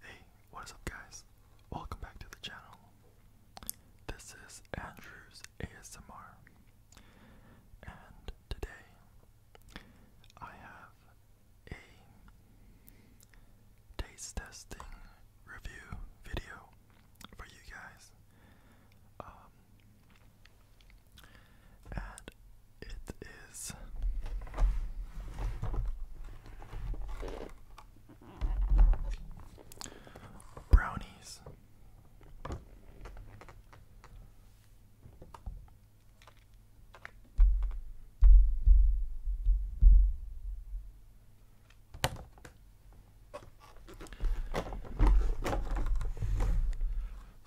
Hey, what is up guys? Welcome back to the channel. This is Andrew's ASMR. And today I have a taste testing review video for you guys. Um, and it is brownies.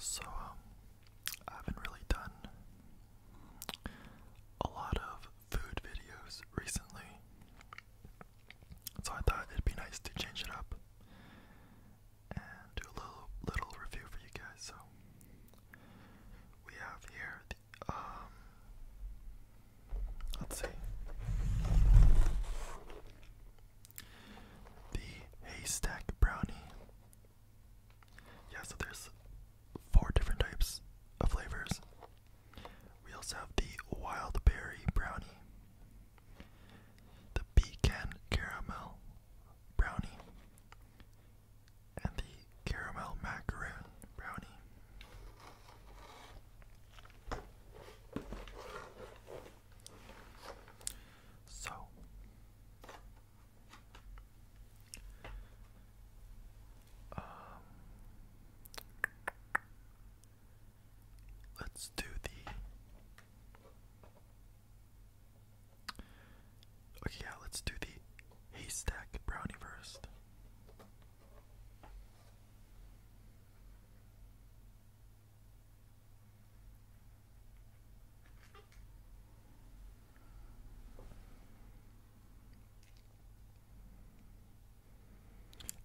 So, um, I haven't really done a lot of food videos recently. So I thought it'd be nice to change it up and do a little little review for you guys. So we have here the um let's see the haystack brownie yeah, so there's four different types of flavors. We also have the wild berry brownie, the pecan caramel brownie, and the caramel macaron brownie. So, um, let's do the. Okay, yeah, let's do the haystack brownie first.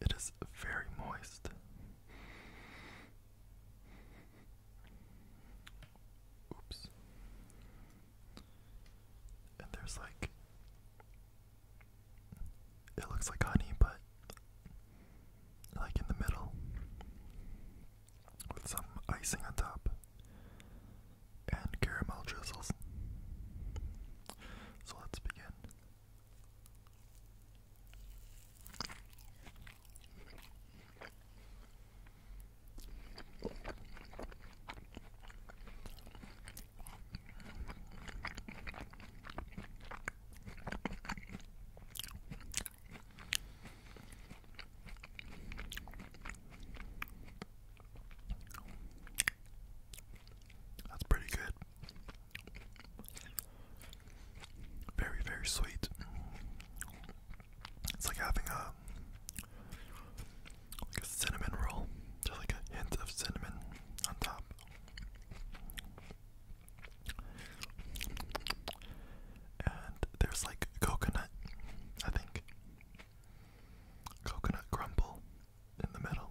It is very moist. Oops. And there's like it looks like honey, but like in the middle with some icing on top and caramel drizzles. So let's begin. That's pretty good. Very, very sweet. It's like having a like a cinnamon roll, just like a hint of cinnamon on top. And there's like coconut, I think. Coconut crumble in the middle.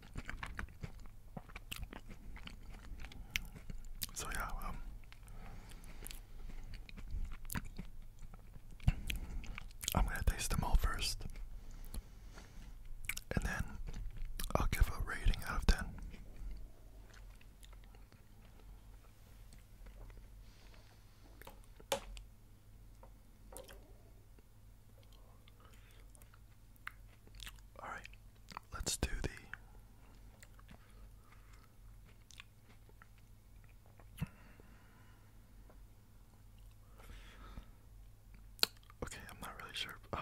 So yeah, um, I'm gonna taste them all first. And then I'll give a rating out of ten. All right, let's do the. Okay, I'm not really sure. Um,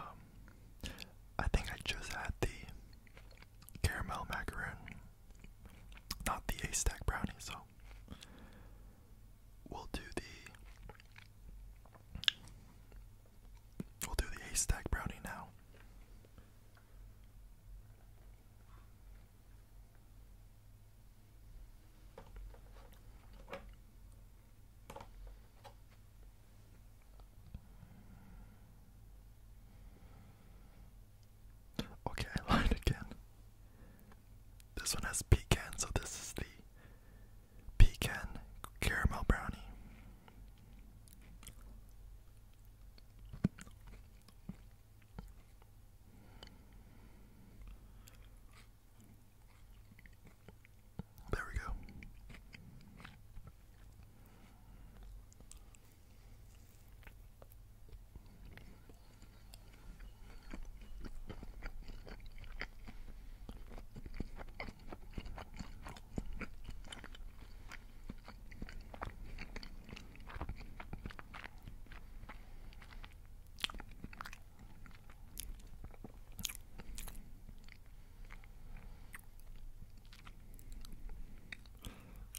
I think I just had the caramel macaron, not the A stack brownie, so we'll do the We'll do the A stack brownie now. Okay, I lied again. This one has pecan, so this is the Pecan Caramel Brownie. There we go.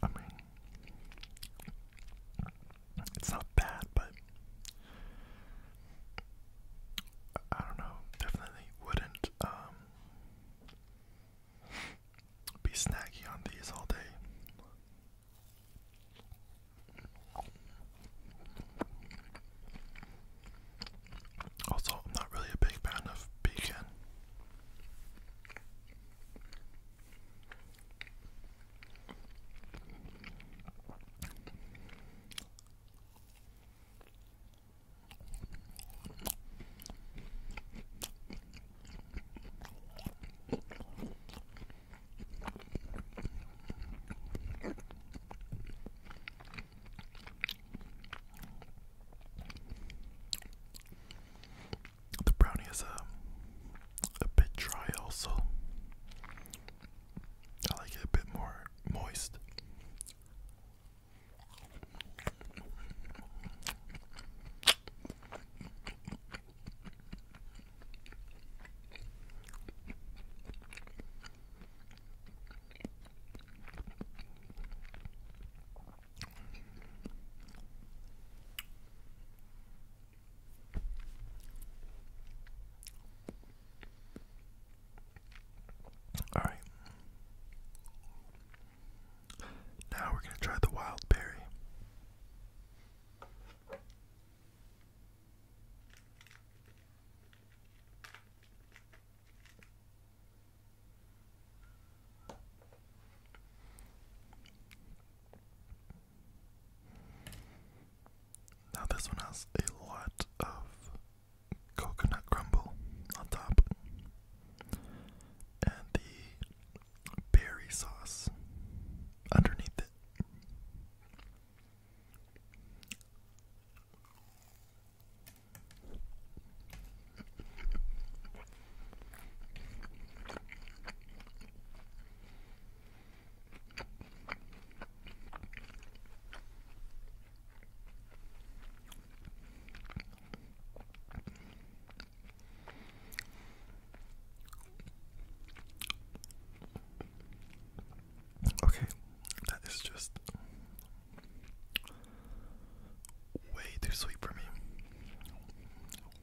I mean, it's not bad, but I don't know, definitely wouldn't um, be snaggy on these all day. Also, am not really a big fan of bacon. The brownie is a, a bit dry, also. I like it a bit more moist. All right. Now we're going to try the wild berry. Now, this one has a lot of coconut crumble on top and the berry sauce underneath it. Okay, that is just way too sweet for me.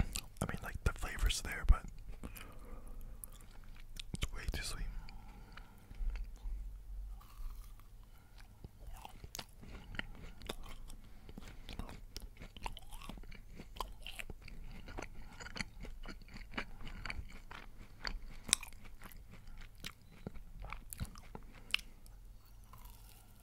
I mean, like the flavor's there, but it's way too sweet.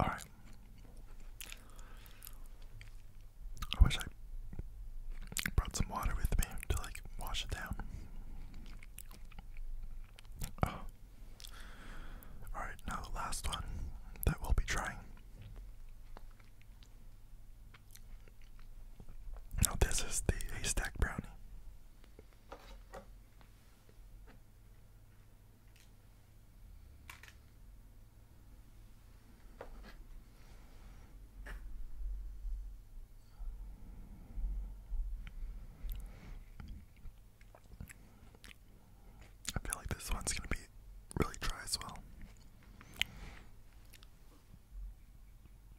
All right. I wish I brought some water with me to like wash it down. Oh. All right, now the last one that we'll be trying. Now this is the haystack brownie. I feel like this one's going to be really dry as well.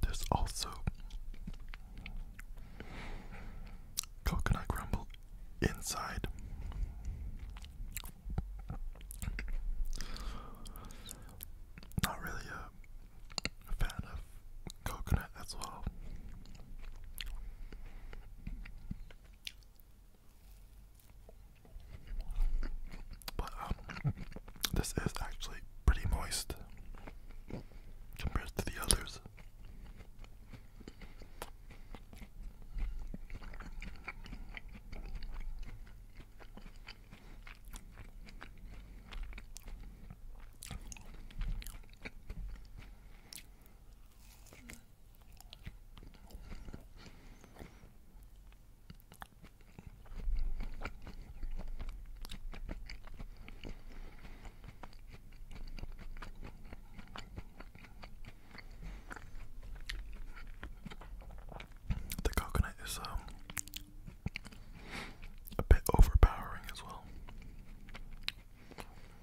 There's also coconut crumble inside. Not really a fan of coconut as well. But um, this is actually pretty moist compared to the others. The coconut is um, a bit overpowering as well.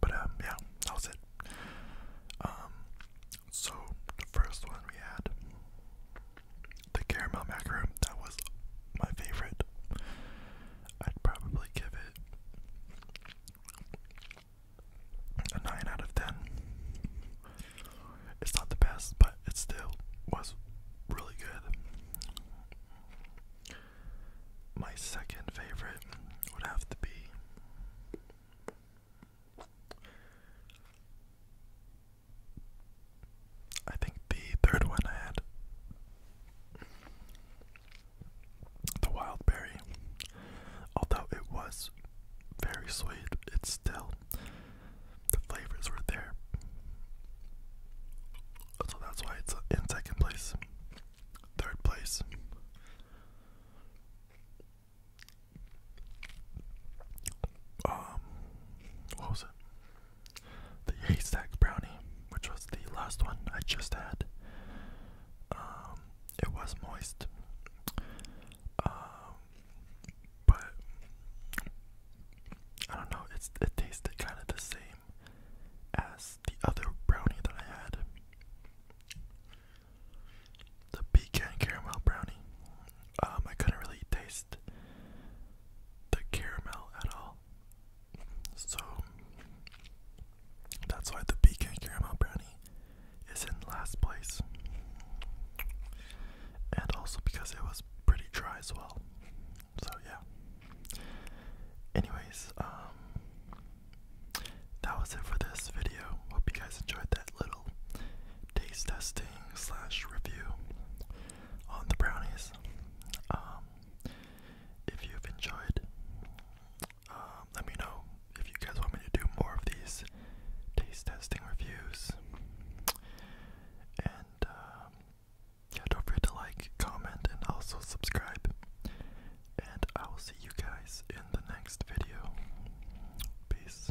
But um, yeah, that was it. Um, so the first one we had the caramel macaron. That was my favorite. I'd probably give it a 9 out of 10. It's not the best, but it still was really good. My second favorite would have to be. I think the third one I had the wild berry. Although it was very sweet, it's still the flavors were there. So that's why it's in second place. Third place. Um, what was it? The haystack brownie, which was the last one I just had. Um, it was moist, um, but I don't know. It's it tasted kind of the same as the other brownie that I had, the pecan caramel brownie. Um, I couldn't really taste the caramel at all. So that's why the Pecan Caramel Brownie is in last place. And also because it was pretty dry as well. So yeah. Anyways, um that was it for this video. Hope you guys enjoyed that little taste testing slash review on the brownies. Um if you've enjoyed. Um, let me know if you guys want me to do more of these taste testing reviews. And um, don't forget to like, comment, and also subscribe. And I will see you guys in the next video. Peace.